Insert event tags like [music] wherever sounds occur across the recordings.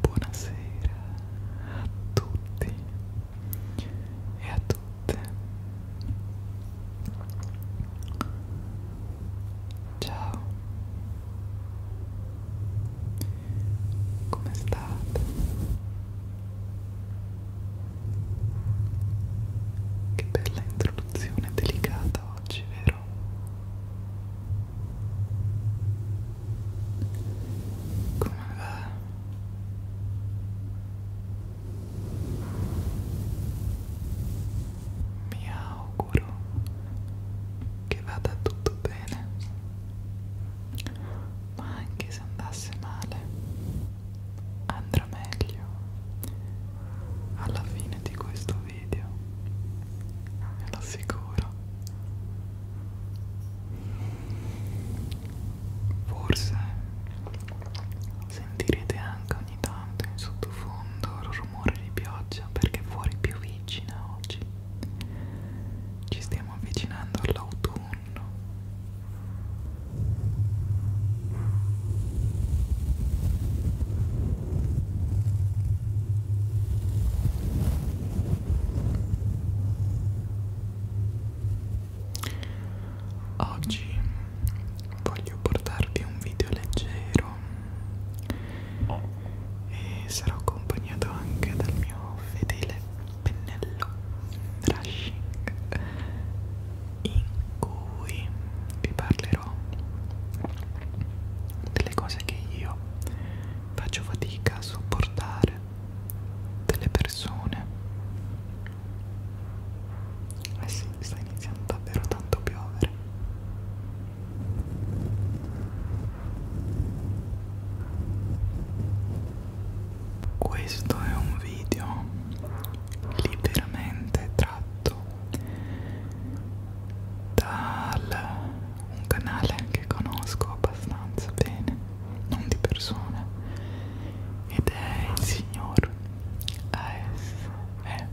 Buonasera a tutti e a tutte. Ciao. Come state? Che bella introduzione delicata oggi, vero? Come va? Mi auguro che vada tutto bene, ma anche se andasse male andrà meglio alla fine di questo video ve lo assicuro forse sentirete anche ogni tanto in sottofondo il rumore di pioggia perché fuori piovigina oggi ci stiamo avvicinando all'autunno Oggi voglio portarvi un video leggero e sarò accompagnato anche dal mio fedele pennello brushing in cui vi parlerò delle cose che io faccio fatica a sopportare delle persone eh sì, sta iniziando davvero tanto a piovere questo è un video liberamente tratto da un canale che conosco abbastanza bene, non di persona, ed è il signor ASMR.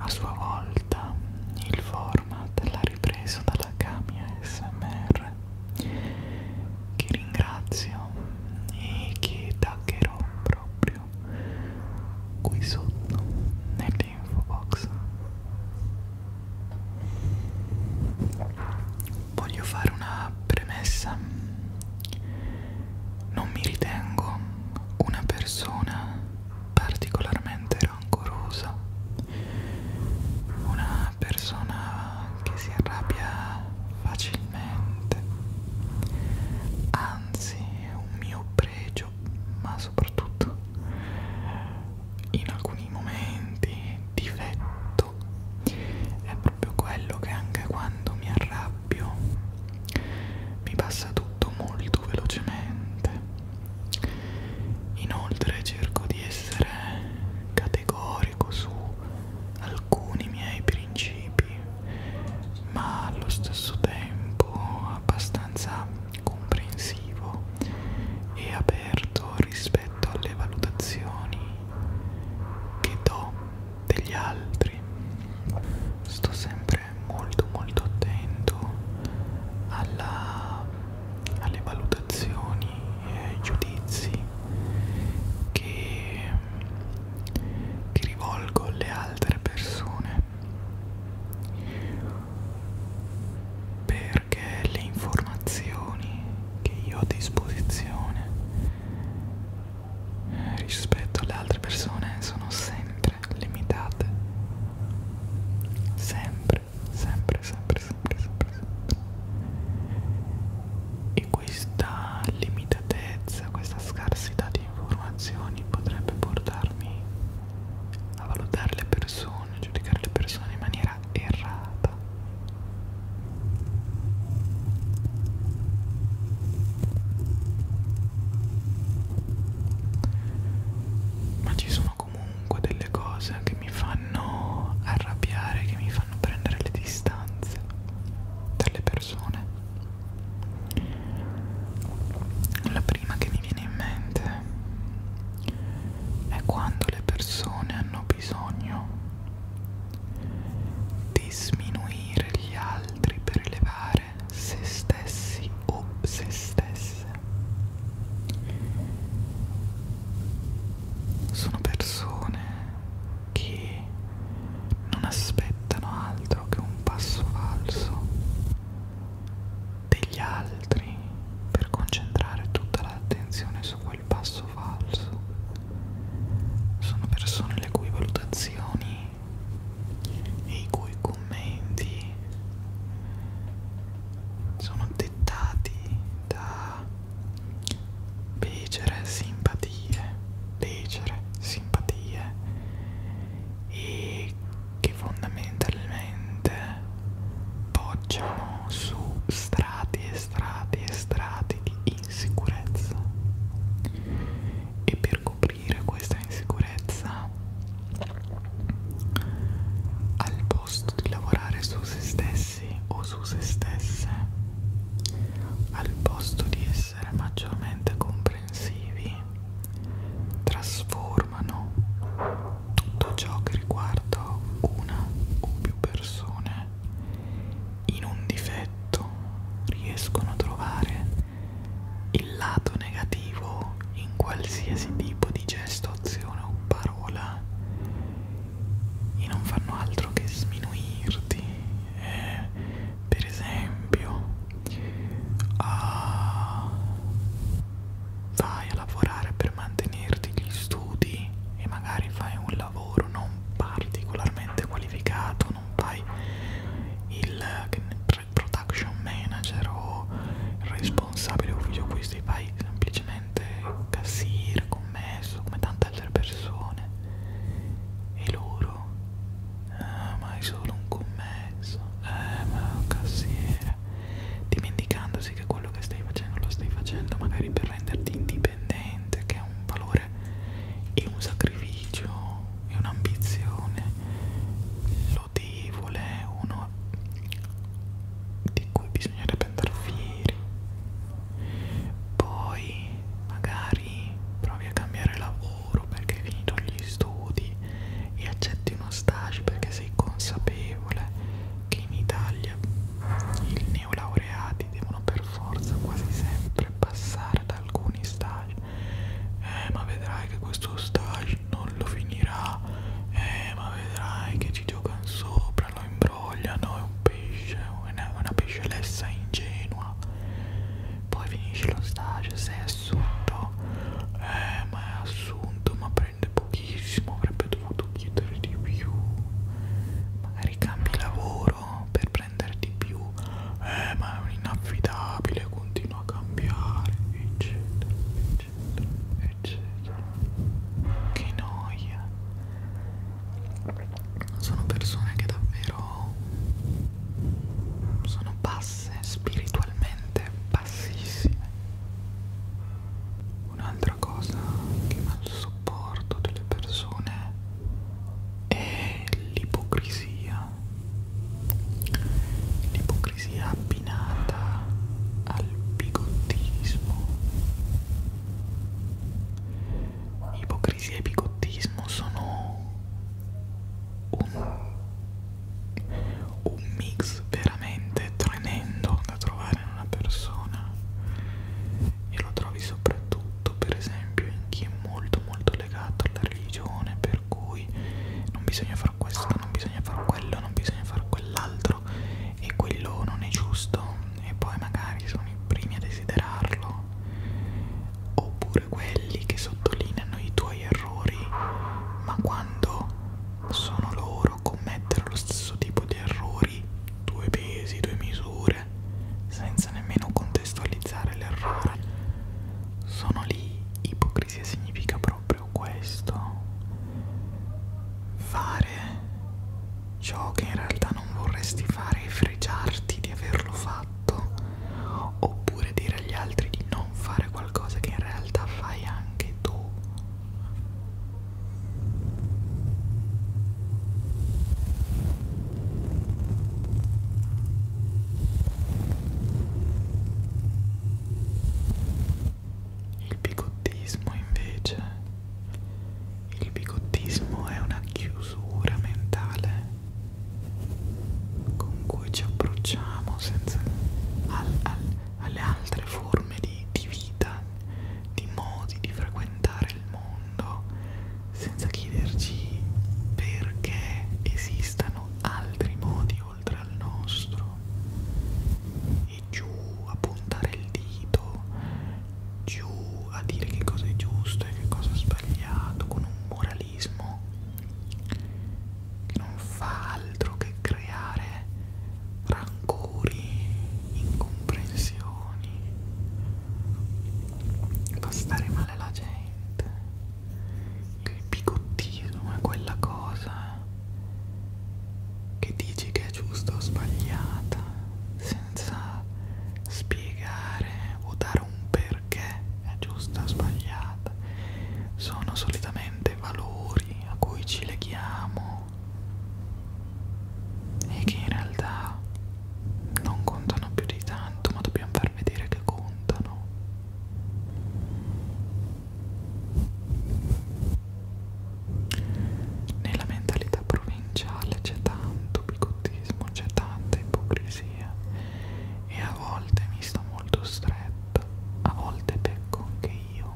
A sua volta il format l'ha ripreso dalla Kami ASMR che ringrazio e che taggerò proprio qui sotto nell'info box. Voglio fare una premessa non mi ritengo una persona particolarmente rancorosa, una persona che si arrabbia facilmente, anzi è un mio pregio, ma soprattutto in alcuni momenti difetto è proprio quello che anche quando mi arrabbio mi passa tutto molto velocemente inoltre cerco di essere categorico su alcuni miei principi ma allo stesso tempo abbastanza comprensivo e aperto rispetto alle valutazioni che do degli altri sto sempre sempre molto molto attento alla, alle valutazioni e ai giudizi che, che rivolgo alle altre persone perché le informazioni che io ho a disposizione eh, rispetto alle altre persone sono sempre essere limitate sempre, sempre, sempre, sempre, sempre, sempre. E questa limitatezza, questa scarsità di informazioni potrebbe portarmi a valutare le persone, a giudicare le persone in maniera errata ma ci sono comunque delle cose che mi fanno arrabbiare che mi fanno prendere le distanze dalle persone la prima che mi viene in mente è quando le persone hanno bisogno di sminuire gli altri per elevare amare se stessi o se stesse. Sono persone che non aspettano altro che un passo falso degli altri per concentrare tutta l'attenzione su quel passo falso. Sono persone le cui valutazioni e i cui commenti sono dettati da becere simpatie, becere simpatie e che fondamentalmente poggiano su strati e strati e strati di insicurezza e per coprire coprire questa insicurezza al posto di lavorare su se stessi o su se stesse, al posto di essere maggiormente comprensivi, trasformano tutto ciò che riguarda una o più persone in un difetto riescono a trovare il lato negativo in qualsiasi tipo di gesto, azione o parola e non fanno altro che sminuirti. Eh, per esempio, ah, vai a lavorare per mantenerti gli studi e magari fai un lavoro non particolarmente qualificato quando non fai il production manager o il responsabile ufficio acquisti, fai semplicemente cassiere, commesso, come tante altre persone e loro eh, ma è solo un commesso eh ma è un cassiere dimenticandosi che quello che stai facendo lo stai facendo magari per renderti indipendente che è un valore amore e un sacrificio e un'ambizione lodevole, uno di cui bisognerebbe andare fieri. Poi magari provi a cambiare lavoro perché hai finito gli studi e accetti uno stage perché sei consapevole che in Italia i neolaureati devono per forza quasi sempre passare da alcuni stage eh ma vedrai che questo stage non lo finirà eh ma vedrai che ci giocano sopra lo imbrogliano è un pesce una, una pescelessa ingenua poi finisce lo stage sei assunto eh ma è assunto ma prende pochissimo avrebbe dovuto chiedere di più magari cambi lavoro per prendere di più eh ma è inaffidabile continua a cambiare eccetera eccetera eccetera che noia sono persone che davvero sono basse spiritualmente bassissime un'altra cosa che mal sopporto delle persone è l'ipocrisia l'ipocrisia abbinata al bigottismo. Ipocrisia e bigottismo sono un, un mix veramente tremendo da trovare in una persona e lo trovi soprattutto per esempio in chi è molto molto legato alla religione per cui non bisogna far questo, non bisogna far quello, non bisogna far quell'altro e quello non è giusto e poi magari sono i primi a desiderarlo oppure quelli che sottolineano i tuoi errori ma quando sono loro a commettere lo stesso tipo di errori due pesi, due misure senza nemmeno contemplare contestualizzare l'errore sono lì ipocrisia significa proprio questo fare ciò che in realtà non vorresti fare e fregiarti di averlo fatto oppure dire agli altri di non fare qualcosa che in realtà fai anche tu il bigottismo invece, il bigottismo è una chiusura mentale con cui ci approcciamo senza al, al, alle altre forme di, di vita, di modi di frequentare il mondo, senza chiederci perché esistano altri modi oltre al nostro e giù a puntare il dito, giù a dire che cosa è giusto e che cosa è sbagliato con un moralismo che non fa altro che creare rancori, incomprensioni fa stare male la gente che il bigottismo è quella cosa eh. che dici che è giusta o sbagliata senza spiegare o dare un perché è giusta o sbagliata sono solitamente valori a cui ci leghiamo e che in realtà non contano più di tanto ma dobbiamo fare per vedere che contano nella mentalità provinciale c'è tanto bigottismo c'è tanta ipocrisia e a volte mi sto molto stretta a volte pecco anche io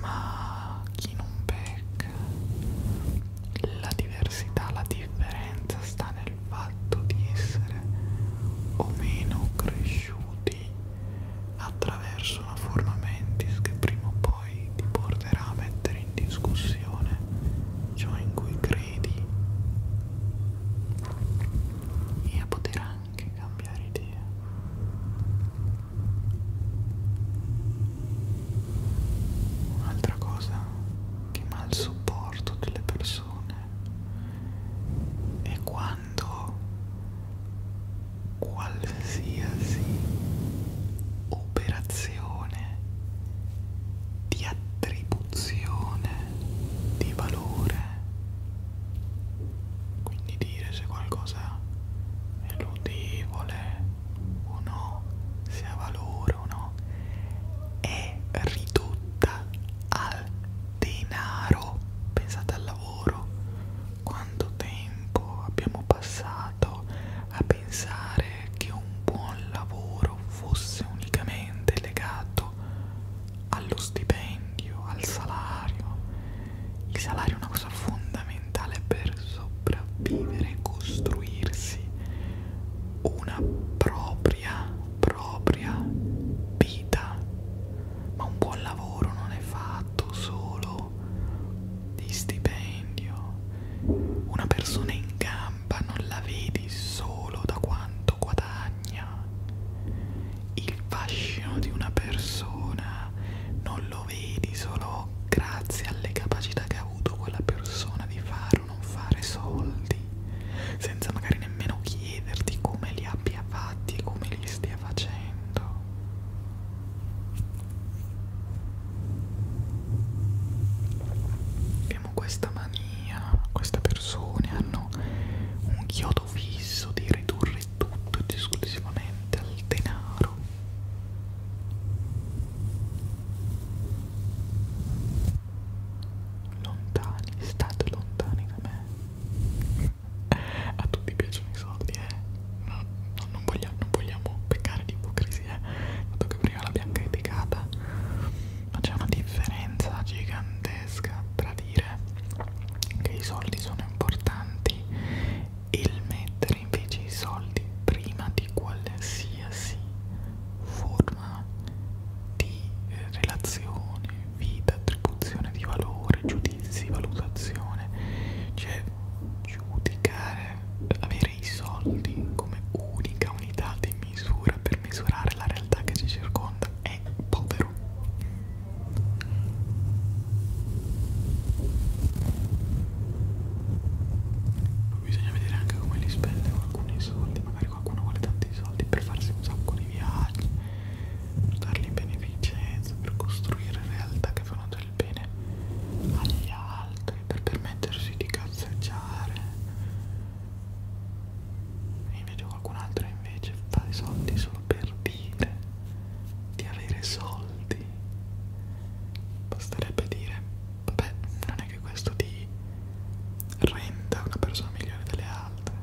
ma chi non pecca la diversità, la differenza sta nel fatto di essere o meno cresciuti attraverso una forma mentis che prima o poi ti porterà a mettere in discussione ciò in cui credi e a poter anche cambiare idea. Un'altra cosa che mal sopporto delle persone e quando qualsiasi operazione di attribuzione di valore quindi dire se qualcosa è ludivole o no, se ha valore o no, è ridotta al denaro. Pensate al lavoro, quanto tempo abbiamo passato a pensare che un buon lavoro fosse unicamente legato allo stipendio, al salario. Il salario è una cosa fondamentale per sopravvivere, costruirsi una propria, propria vita. Ma un buon lavoro non è fatto solo di stipendio. Una persona in gamba non la vedi solo da quanto guadagna. Il fascino di una persona non lo vedi solo grazie alle capacità che ha avuto quella persona di fare davvero non fare soldi senza magari nemmeno chiederti come li abbia fatti e come li stia facendo abbiamo questa mania queste persone hanno un chiodo fisso di ridurre tutto ed esclusivamente al denaro lontani, state lontani da me. A tutti piacciono i soldi, eh. No, no, non, vogliamo, non vogliamo peccare di ipocrisia, eh. dato che prima l'abbiamo criticata. Ma c'è una differenza gigantesca tra dire che i soldi sono importanti e il mettere invece i soldi prima di qualsiasi forma di eh, relazione, vita, attribuzione di valore, giudizi, valutazione, cioè giudicare, avere i soldi come unica unità di misura per misurare la realtà che ci circonda è povero bisogna vedere anche come li spende qualcuno i soldi magari qualcuno vuole tanti soldi per farsi un sacco di viaggi per darli in beneficenza per costruire realtà che fanno del bene agli altri per permettersi di cazzeggiare e invece qualcun altro invece fa i soldi solo per dire di avere soldi basterebbe dire vabbè non è che questo ti renda una persona migliore delle altre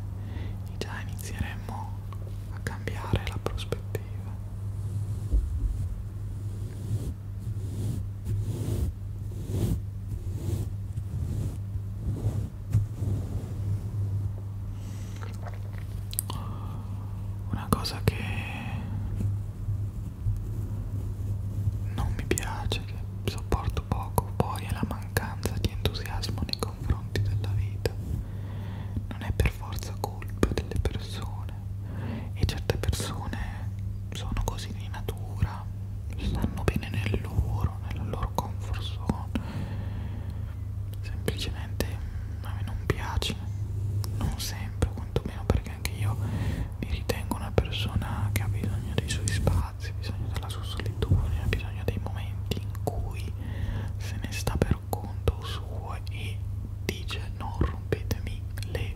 già inizieremmo a cambiare la prospettiva una cosa che non mi piace che sopporto poco poi è la mancanza di entusiasmo nei confronti della vita non è per forza colpa delle persone e certe persone sono così di natura stanno bene nel loro nella loro comfort zone semplicemente a me non piace non sempre quantomeno perché perché anche io mi ritengo una persona che ha bisogno dei suoi spazi, bisogno della sua solitudine, ha bisogno dei momenti in cui se ne sta per conto suo e dice non rompetemi le...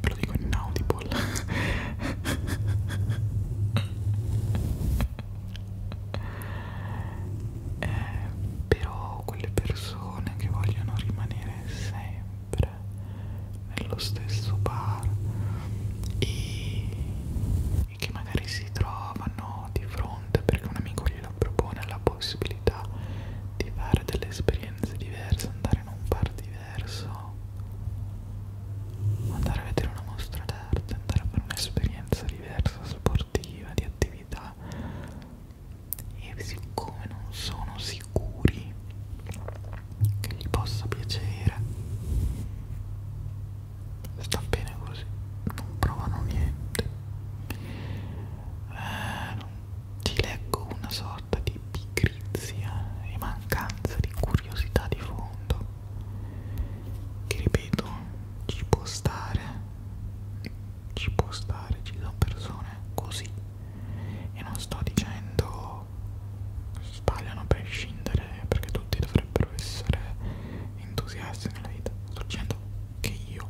ve lo dico in audible [laughs] eh, però quelle persone che vogliono rimanere sempre bere nello stesso bar e, e che magari si trovano di fronte perché un amico glielo propone la possibilità di fare delle esperienze diverse, andare in un bar diverso, andare a vedere una mostra d'arte, andare a fare un'esperienza diversa, sportiva, di attività e siccome non sono sicuri che gli possa piacere sta bene così non provano niente eh, non... ti leggo una sorta di pigrizia e mancanza di curiosità di fondo che ripeto ci può stare ci può stare, ci sono persone così e non sto dicendo sbagliano per scindere perché tutti dovrebbero essere entusiasti nella vita, sto dicendo che io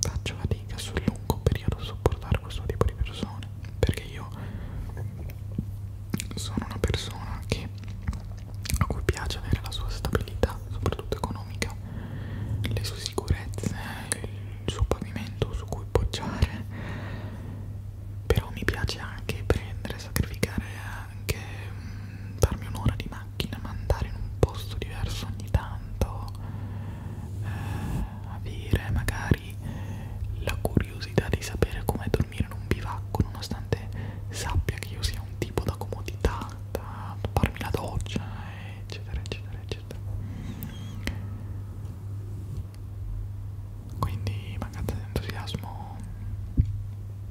faccio fatica sul lungo periodo a sopportare questo tipo di persone perché io sono una persona che a cui piace avere la sua stabilità soprattutto economica le sue sicurezze sul pavimento su cui poggiare però mi piace anche prendere, sacrificare anche mh, mm, darmi un'ora di macchina ma andare in un posto diverso ogni tanto eh, avere magari la curiosità di sapere com'è dormire in un bivacco nonostante sappia che io sia un tipo da comodità da farmi la doccia eccetera eccetera eccetera eccetera quindi mancanza di entusiasmo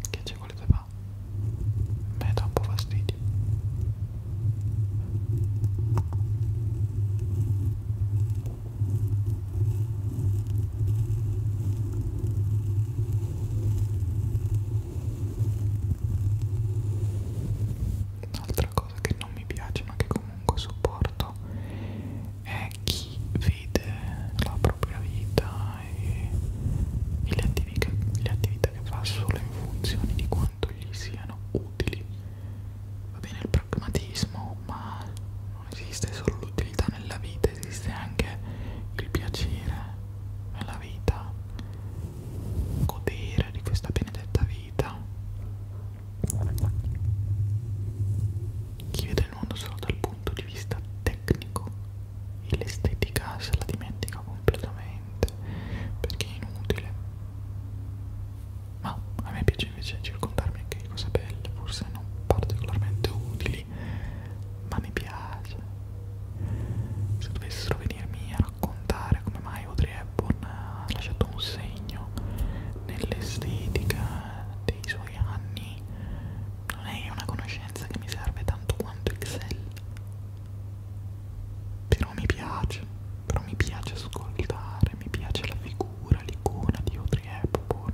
che ci volete fare? mi dà un po' fastidio Un'altra cosa che non mi piace ma che comunque sopporto è chi vede la propria vita e, e le, attività, le attività che fa solo in funzione di quanto gli siano utili. Va bene il pragmatismo, ma non esiste solo l'utilità nella vita, esiste anche il piacere nella vita godere di questa benedetta vita. Chi vede il mondo solo dal punto di vista tecnico e l'estetica se la dimentica completamente perché è inutile. Ma a me piace invece circondarmi anche di cose belle, forse non particolarmente utili, ma mi piace. Se dovessero venirmi a raccontare come mai potrei Ebbon ha lasciato un segno nell'estetica dei suoi anni. Non è una conoscenza che mi serve tanto quanto Excel. Però mi piace, però mi piace ascoltare, mi piace la figura, l'icona di Audrey Hepburn.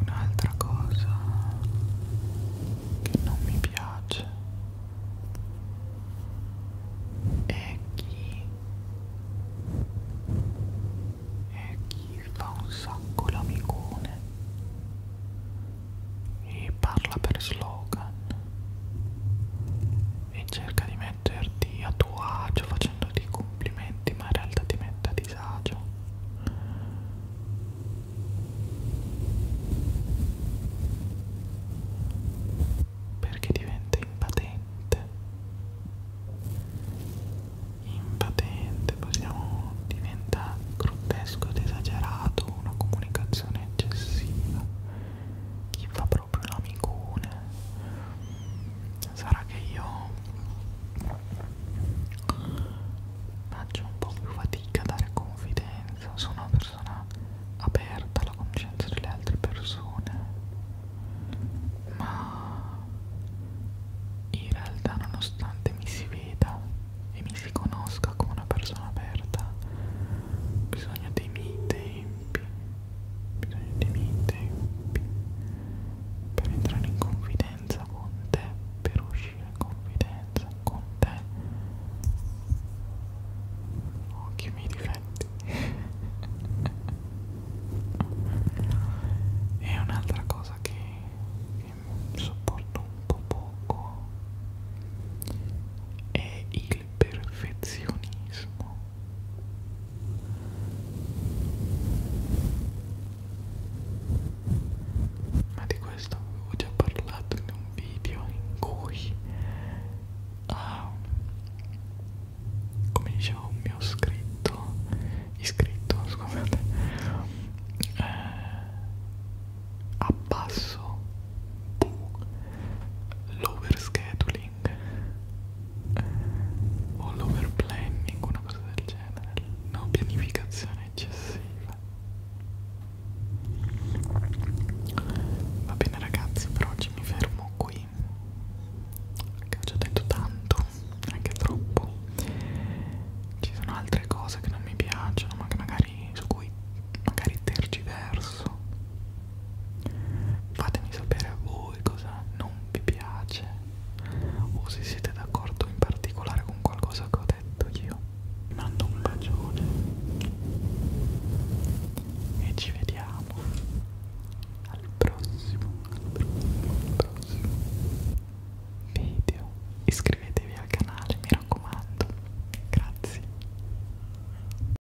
Un'altra cosa che non mi piace è chi è chi fa un sacco l'amicone e parla per slogan e cerca di mettere metterti a tuo agio facendoti complimenti, ma in realtà ti mette a disagio. Perché diventa impatente. Impatente, possiamo diventa grottesco ed esagerato, una comunicazione eccessiva chi fa proprio l'amicone sarà che io faccio un po' più fatica a dare confidenza sono una persona aperta alla conoscenza delle altre persone ma in realtà nonostante mi si veda e mi si conosca come una persona aperta bisogna dei miei tempi bisogno dei miei tempi per entrare in confidenza con te, per uscire in confidenza con te. Occhio i miei difetti. e [laughs] un'altra cosa che, che sopporto un po' poco è il perfezionismo ma di questo avevo già parlato in un video in cui ah, come dicevo un mio scritto iscritto scusate eh, abbasso l'overscheduling planning o eh, l'over planning, una cosa del genere, no pianificazione eccessiva. Va bene ragazzi, per oggi mi fermo qui, che ho già detto tanto, anche troppo. Ci sono altre cose che non mi piacciono, ma che magari su cui magari tergiverso Fatemi sapere a voi cosa non vi piace o se siete d'accordo in particolare con qualcosa che ho detto io. Vi mando un bacione e ci vediamo al prossimo, al prossimo, al prossimo video. Iscrivetevi al canale, mi raccomando. Grazie.